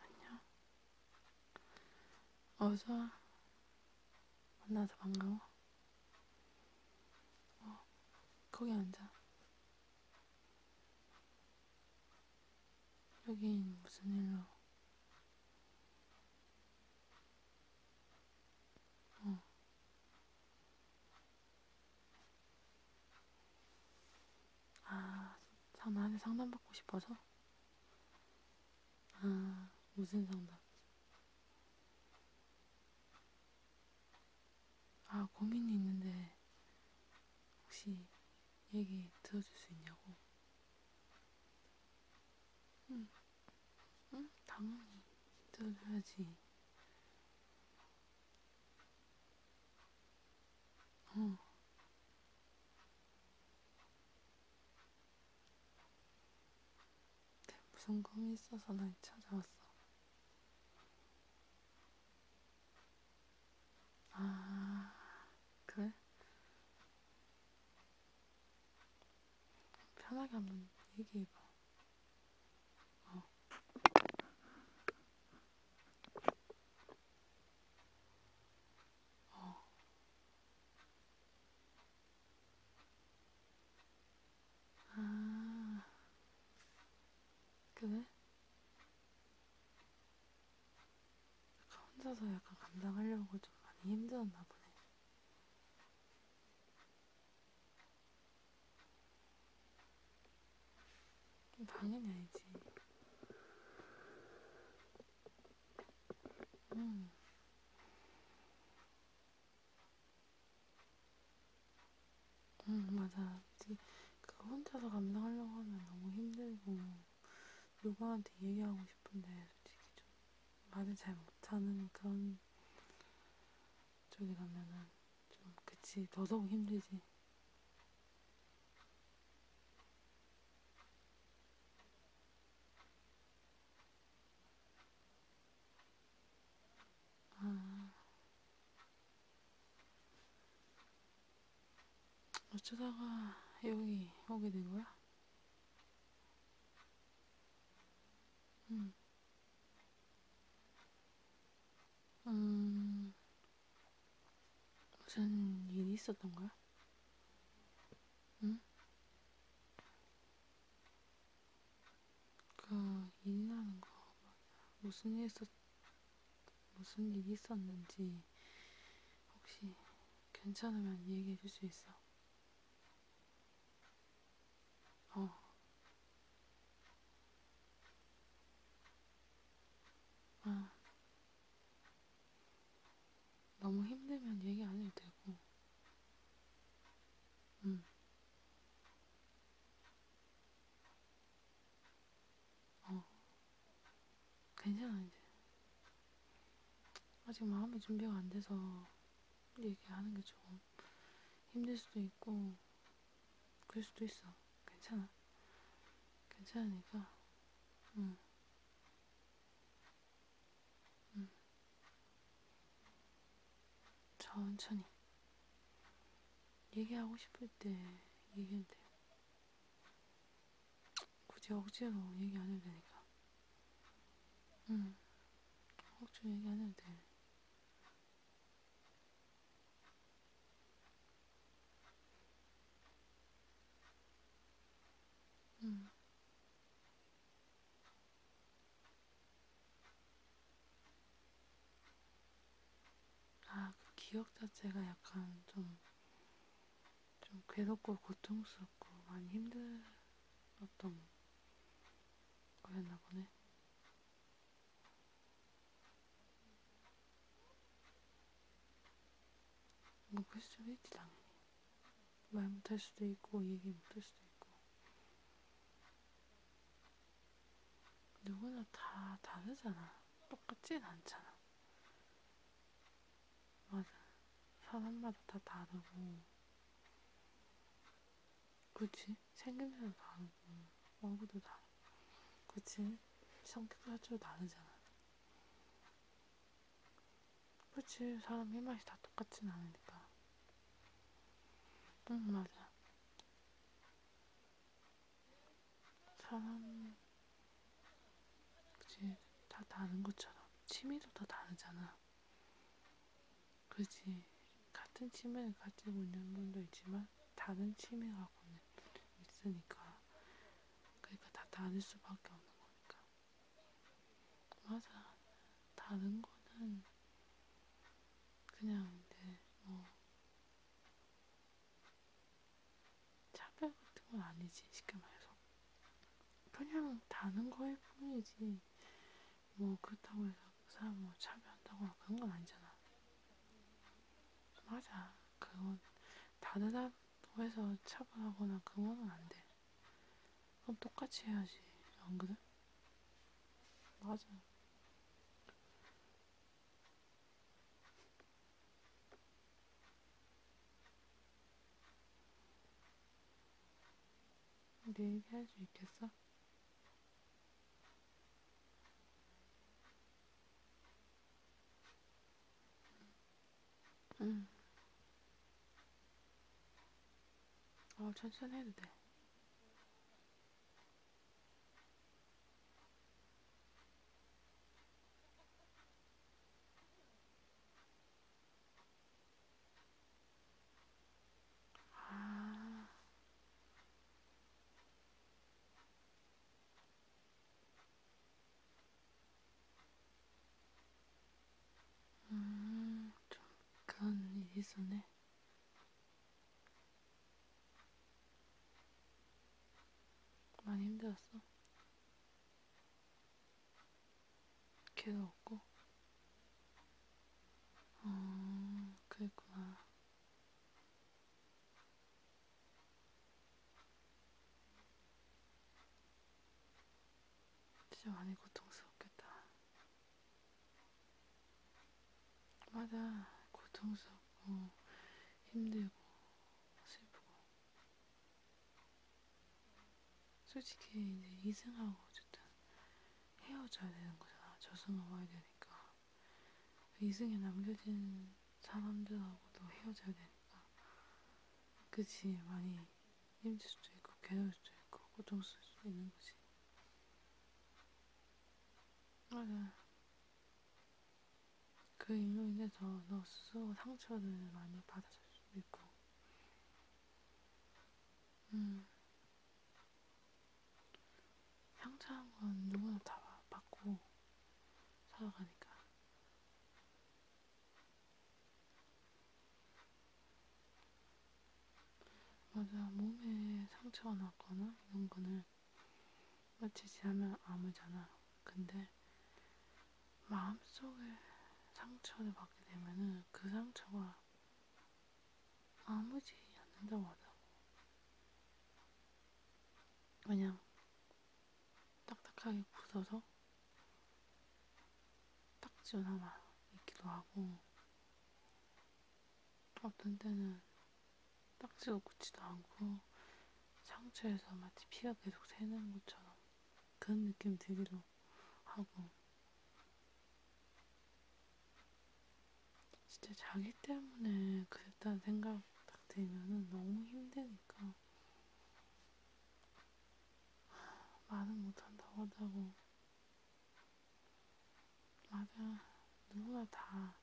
안녕. 어서 만나서 반가워. 어, 거기 앉아. 여긴 무슨 일로? 어. 아, 전화하는 상담받고 싶어서? 아, 무슨 상담? 아, 고민이 있는데, 혹시 얘기 들어줄 수 있냐고? 응. 음. 응? 당연히 들어줘야지. 어. 무슨 꿈이 있어서 날 찾아왔어. 아, 그래? 편하게 한번 얘기해봐. 어. 어. 아, 그래? 혼자서 약간 감당하려고 좀 많이 힘들었나 보네. 당연히 알지. 음. 응, 음, 맞아. 그 혼자서 감당하려고 하면 너무 힘들고, 누구한테 얘기하고 싶은데, 솔직히 좀 말을 잘 못하는 그런 쪽에 가면은 좀 그치 더더욱 힘들지. 아, 어쩌다가 여기 오게 된 거야? 음. 음. 무슨 일이 있었던 거야? 응? 그 일이라는 거 무슨 일 있었 무슨 일이 있었는지 혹시 괜찮으면 얘기해 줄 수 있어? 어. 아. 너무 힘들면 얘기 안 해도 되고. 응. 음. 어. 괜찮아, 이제. 아직 마음의 준비가 안 돼서 얘기하는 게 좀 힘들 수도 있고, 그럴 수도 있어. 괜찮아. 괜찮으니까, 응. 응. 천천히. 얘기하고 싶을 때 얘기해도 돼. 굳이 억지로 얘기 안 해도 되니까. 응, 한국적 얘기 안 해도 돼. 응. 아, 그 기억 자체가 약간 좀, 좀 괴롭고 고통스럽고 많이 힘들었던 그랬나 보네. 뭐 그럴 수도 있지 당연히. 말 못할 수도 있고 얘기 못할 수도 있고. 누구나 다 다르잖아. 똑같진 않잖아. 맞아. 사람마다 다 다르고 그치? 생김새도 다르고, 얼굴도 다르고, 그치? 성격도 자체로 다르잖아. 그치? 사람 입맛이 다 똑같진 않으니까. 응, 맞아. 사람, 그치? 다 다른 것처럼. 취미도 다 다르잖아. 그지 같은 취미를 가지고 있는 분도 있지만 다른 취미 갖고는 있으니까 그러니까 다 다를 수밖에 없는 거니까 맞아 다른 거는 그냥 이제 뭐 차별 같은 건 아니지 쉽게 말해서 그냥 다른 거일 뿐이지 뭐 그렇다고 해서 그 사람 뭐 차별한다거나 그런 건 아니잖아. 맞아. 그건 다르다고 해서 차별하거나 그거는 안 돼. 그럼 똑같이 해야지. 안 그래? 맞아. 내 얘기할 수 있겠어? 응. 음. 어, 천천히 해도 돼. 아. 음, 잠깐 일이 있었네. 많이 힘들었어. 걔도 없고. 어, 그랬구나. 진짜 많이 고통스럽겠다. 맞아, 고통스럽고, 힘들고, 슬프고. 솔직히 이제 이승하고 어쨌든 헤어져야 되는 거잖아. 젖을 먹어야 되니까. 이승에 남겨진 사람들하고도 헤어져야 되니까. 그치, 많이 힘들 수도 있고, 괴로울 수도 있고, 고통스러울 수도 있는 거지. 맞아. 그 일로 인해서 너 스스로 상처를 많이 받았을 수도 있고. 음, 향자한 건 누구나 다 받고 살아가니까. 맞아, 몸에 상처가 났거나 이런 거는 며칠 지나면 아무잖아. 근데 마음속에 상처를 받게 되면은 그 상처가 아무 죄의 않는다고 하더라고. 그냥 딱딱하게 굳어서 딱지로 남아 있기도 하고 어떤 때는 딱지로 굳지도 않고 상처에서 마치 피가 계속 새는 것처럼 그런 느낌 들기도 하고 진짜 자기 때문에 그랬다는 생각 딱 들면은 너무 힘드니까 말은 못한다고 하자고 맞아 누구나 다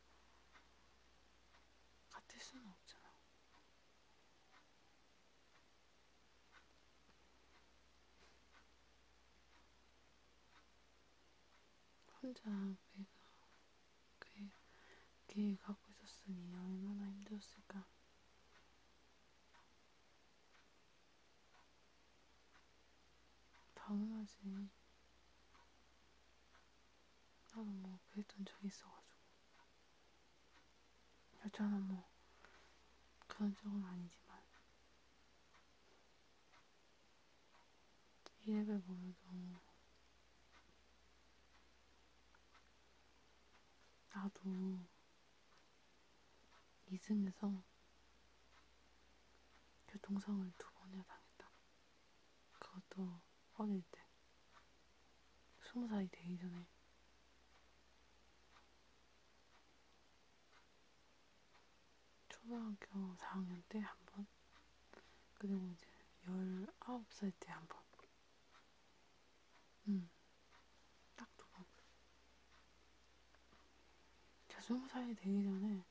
같을 수는 없잖아 혼자 내가 그게, 그게 갖고 있었으니 얼마나 힘들었을까. 당연하지. 나도 뭐 그랬던 적이 있어가지고. 여자는 뭐 그런 적은 아니지만. 이래봬 보여도 나도 이승에서 교통상을 두 번이나 당했다. 그것도 어릴 때. 스무 살이 되기 전에. 초등학교 4학년 때 한 번, 그리고 이제 19살 때 한 번. 음, 딱두 번. 제 20살이 되기 전에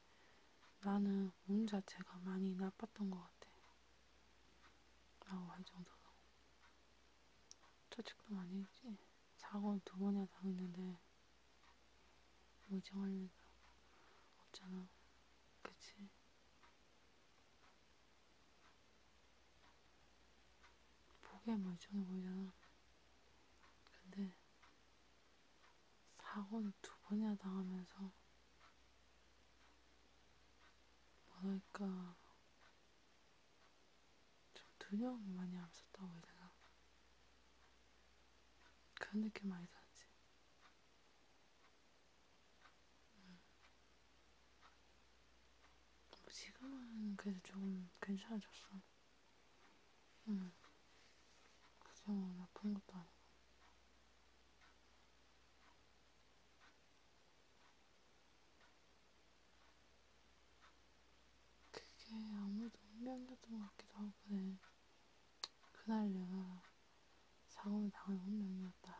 나는 몸 자체가 많이 나빴던 것 같아. 라고 할 정도로. 처직도 많이 했지. 사고를 두 번이나 당했는데 무정할 리가 없잖아. 그치? 보기엔 멀쩡해 뭐 보이잖아. 근데 사고는 두 번이나 당하면서 뭐랄까 좀 두려움이 많이 앞섰다고 해야 되나? 그런 느낌 많이 들었지. 음. 뭐 지금은 그래도 조금 괜찮아졌어. 응. 그정도 아픈 것도 아니고. 그게 아무래도 운명이었던 것 같기도 하고, 내 네. 그날 내가 사고를 당한 운명이었다.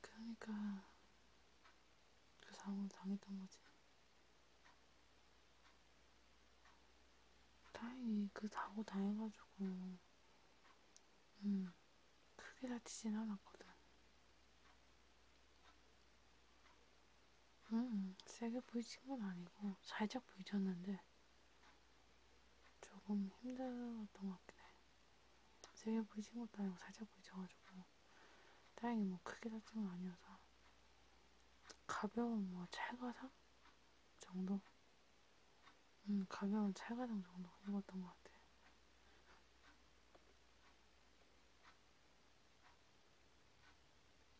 그러니까 그 사고를 당했던 거지. 다행히 그 사고 당해가지고 음 크게 다치진 않았거든. 음, 세게 부딪힌 건 아니고 살짝 부딪혔는데 조금 힘들었던 것 같긴 해. 세게 부딪힌 것도 아니고 살짝 부딪혀가지고 다행히 뭐 크게 다친 건 아니어서 가벼운 뭐 찰가상 정도? 음, 가벼운 찰가상 정도 입었던 것 같아.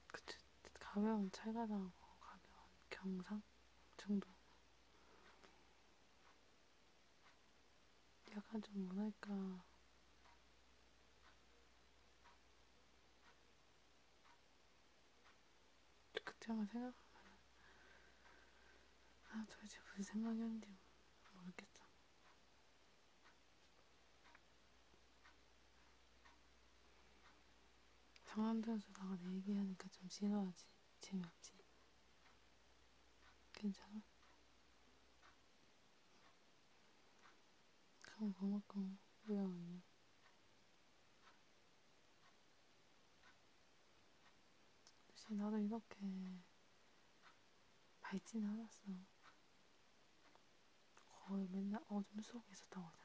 그치, 가벼운 체가나고 가벼운 경상 정도. 약간 좀 뭐랄까. 그때만 생각하면 아 도대체 무슨 생각이었는지 모르겠어. 장난감 주다가 내 얘기하니까 좀 지루하지? 재미없지? 괜찮아? 그럼 고맙고 왜 왔냐? 역시 나도 이렇게 밝진 않았어. 거의 맨날 어둠 속에서 나오죠.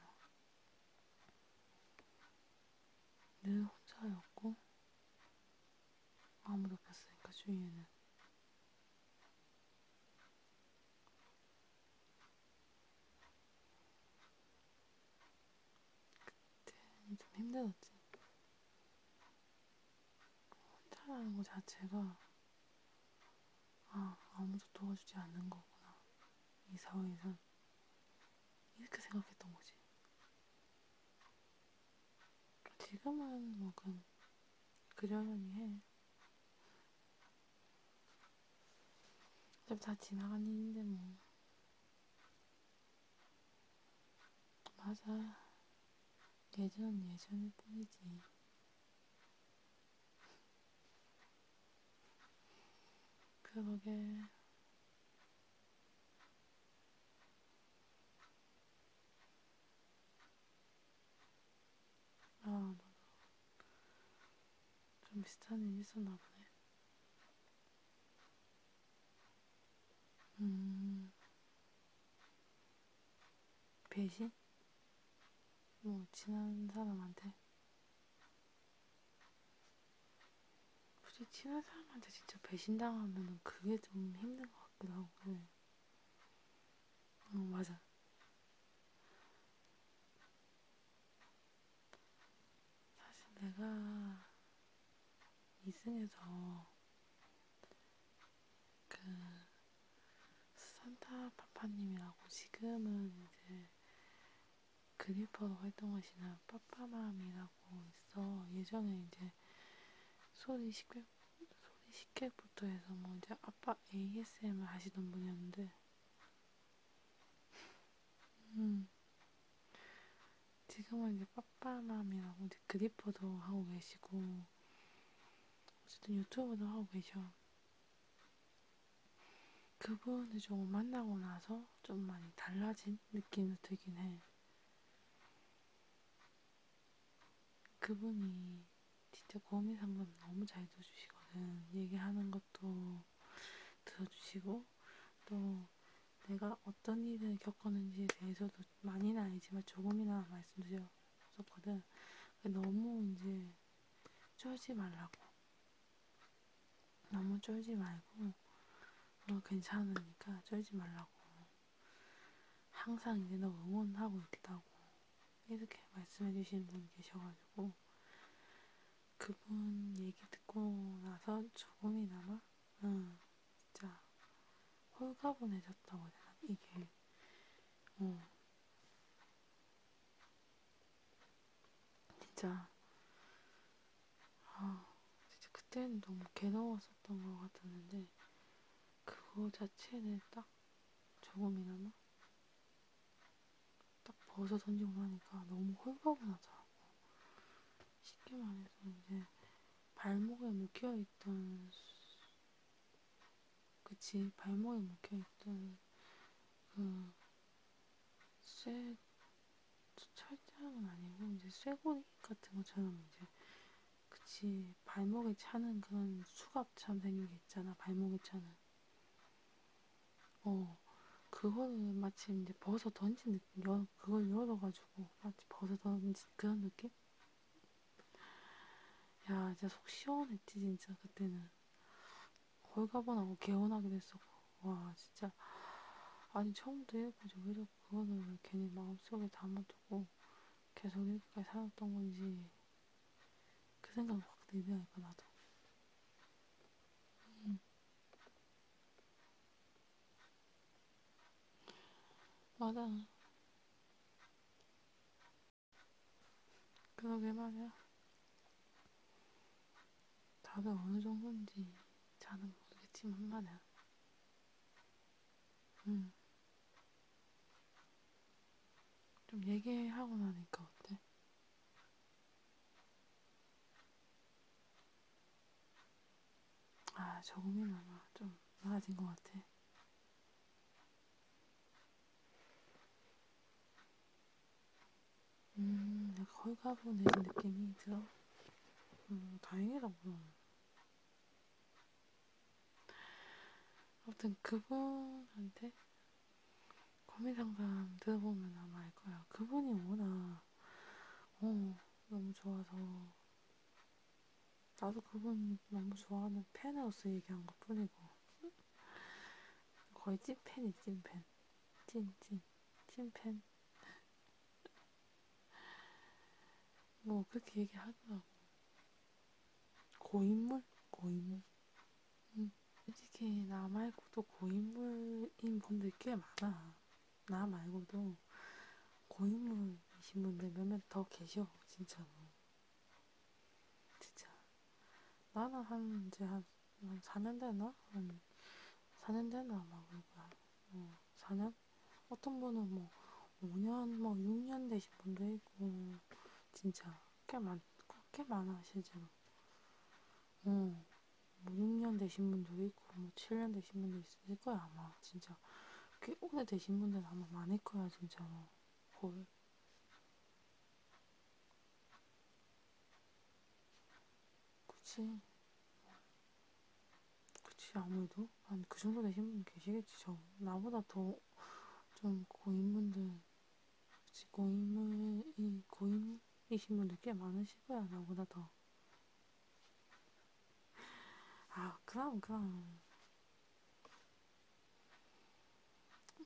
늘 혼자였고 아무도 없었으니까 주위에는 그때는 좀 힘들었지. 혼자라는 것 자체가 아, 아무도 도와주지 않는 거구나. 이 사회에선. 이렇게 생각했던 거지. 지금은 뭐, 그냥, 그려려니 해. 다 지나간 일인데, 뭐. 맞아. 예전은 예전일 뿐이지. 그러게. 아, 나도 좀 비슷한 일이 있었나 보네. 음, 배신? 뭐, 지난 사람한테? 굳이 친한 사람한테 진짜 배신당하면 그게 좀 힘든 것 같기도 하고. 응, 네. 어, 맞아. 사실 내가 이승에서 그 산타 파파님이라고 지금은 이제 그리퍼로 활동하시는 빠빠맘이라고 있어. 예전에 이제 소리 식객, 소리 식객부터 해서 뭐 이제 아빠 ASMR 하시던 분이었는데, 음, 지금은 이제 빠빠맘이라고 이제 그리퍼도 하고 계시고, 어쨌든 유튜브도 하고 계셔. 그분을 좀 만나고 나서 좀 많이 달라진 느낌도 들긴 해. 그분이 진짜 고민 상담 너무 잘 들어주시거든. 얘기하는 것도 들어주시고, 또 내가 어떤 일을 겪었는지에 대해서도 많이는 아니지만 조금이나 말씀드렸었거든. 너무 이제 쫄지 말라고. 너무 쫄지 말고 너 괜찮으니까 쫄지 말라고 항상 이제 너 응원하고 있다고 이렇게 말씀해 주시는 분이 계셔가지고 그분 얘기 듣고 나서 조금이나마 응, 진짜 홀가분해졌다고 해야 되나? 이게 어, 진짜 아 진짜 그때는 너무 괴로웠었던 것 같았는데 그거 자체는 딱 조금이나마 딱 벗어 던지고 나니까 너무 홀가분 하더라고. 쉽게 말해서 이제 발목에 묶여있던 그치 발목에 묶여있던 그, 쇠, 철장은 아니고, 이제 쇠고리 같은 것처럼, 이제, 그치, 발목에 차는 그런 수갑참 생긴 게 있잖아, 발목에 차는. 어, 그거를 마치 이제 벗어 던진 느낌, 열, 그걸 열어가지고, 마치 벗어 던진 그런 느낌? 야, 진짜 속 시원했지, 진짜, 그때는. 걸가번하고 개운하게 됐었고 와 진짜 아니 처음부터 읽고서 왜 자꾸 그거는 왜 괜히 마음속에 담아두고 계속 이렇게까지 살았던 건지 그 생각을 확 들더라니까 나도 음. 맞아 그러게 말이야 답이 어느 정도인지 잘은 모르겠지만 말이야. 음. 좀 얘기하고 나니까 어때? 아, 조금이나마 좀 나아진 것 같아. 음, 약간 헐가분해진 느낌이 들어. 음, 다행이라고. 아무튼 그분한테 고민 상담 들어보면 아마 알 거야. 그분이 워낙, 어, 너무 좋아서. 나도 그분 너무 좋아하는 팬으로서 얘기한 것 뿐이고. 거의 찐팬이 찐팬. 찐찐 찐팬 뭐 그렇게 얘기하더라고 고인물? 고인물? 응. 음, 솔직히 나 말고도 고인물인 분들 꽤 많아 나 말고도 고인물이신 분들 몇몇 더 계셔 진짜로 진짜 나는 한 이제 한 음, 4년 되나? 음, 4년 되나? 막, 그러니까. 음, 4년? 어떤 분은 뭐, 5년, 뭐, 6년 되신 분도 있고, 진짜, 꽤 많, 꽤 많아, 실제로. 음, 뭐, 6년 되신 분도 있고, 뭐, 7년 되신 분도 있을 거야, 아마. 진짜. 꽤 오래 되신 분들은 아마 많을 거야, 진짜로. 거의. 뭐. 그치. 그치, 아무래도. 한그 정도 되신 분 계시겠지, 저. 나보다 더, 좀, 고인분들, 그치, 고인물이, 고인이신 분들 꽤 많으실 거야, 나보다 더. 아, 그럼, 그럼.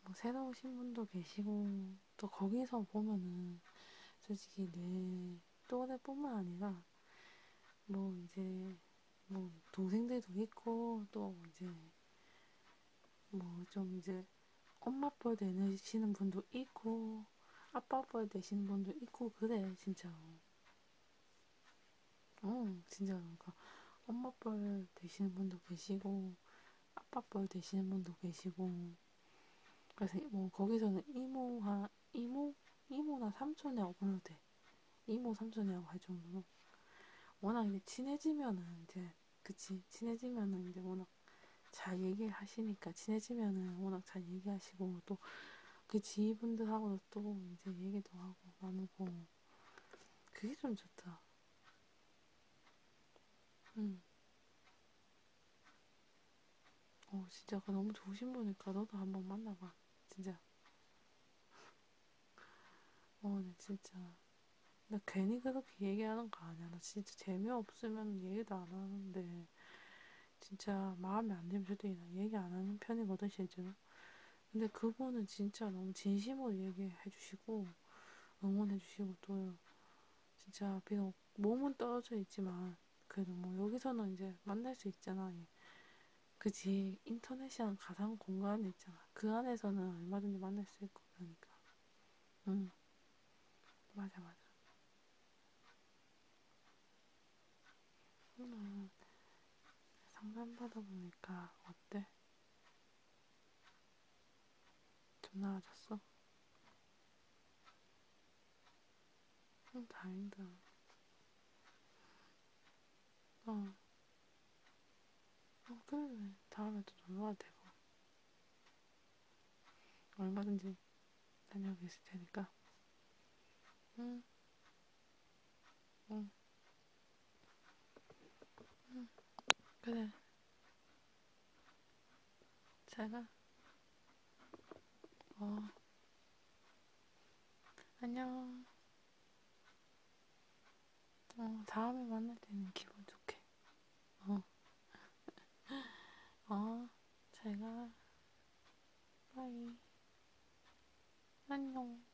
뭐, 새로 오신 분도 계시고, 또 거기서 보면은 솔직히 내 또래뿐만 아니라 뭐 이제 뭐 동생들도 있고 또 이제 뭐 좀 이제 엄마 뻘 되시는 분도 있고 아빠 뻘 되시는 분도 있고 그래 진짜. 응 어, 진짜 그러니까 엄마 뻘 되시는 분도 계시고 아빠 뻘 되시는 분도 계시고 그래서 뭐 거기서는 이모와 이모 이모나 삼촌이라고 불러도 돼 이모 삼촌이라고 할 정도로 워낙 이제 친해지면은 이제 그치 친해지면은 이제 워낙 잘 얘기하시니까 친해지면은 워낙 잘 얘기하시고 또 그 지인분들하고도 또 이제 얘기도 하고 나누고 그게 좀 좋다. 음. 어, 진짜 그 너무 좋으신 분이니까 너도 한번 만나봐. 진짜. 어, 나 진짜. 나 괜히 그렇게 얘기하는 거 아니야. 나 진짜 재미없으면 얘기도 안 하는데. 진짜 마음에 안 들면 저도 그냥 얘기 안 하는 편이거든, 실제로. 근데 그분은 진짜 너무 진심으로 얘기해 주시고, 응원해 주시고, 또, 진짜 비가 비록 몸은 떨어져 있지만 그래도 뭐 여기서는 이제 만날 수 있잖아. 얘. 예. 그지 인터넷이란 가상 공간이 있잖아. 그 안에서는 얼마든지 만날 수 있고 그러니까. 응. 맞아 맞아. 음, 상담받아 보니까 어때? 좀 나아졌어? 어, 다행이다. 어. 어, 그래. 다음에 또 놀러와도 되고. 얼마든지 다녀오고 있을 테니까. 응. 응. 응. 그래. 잘가. 어. 안녕. 어, 다음에 만날 때는 기분 좋게. 어. 어, 잘가. 빠이. 안녕.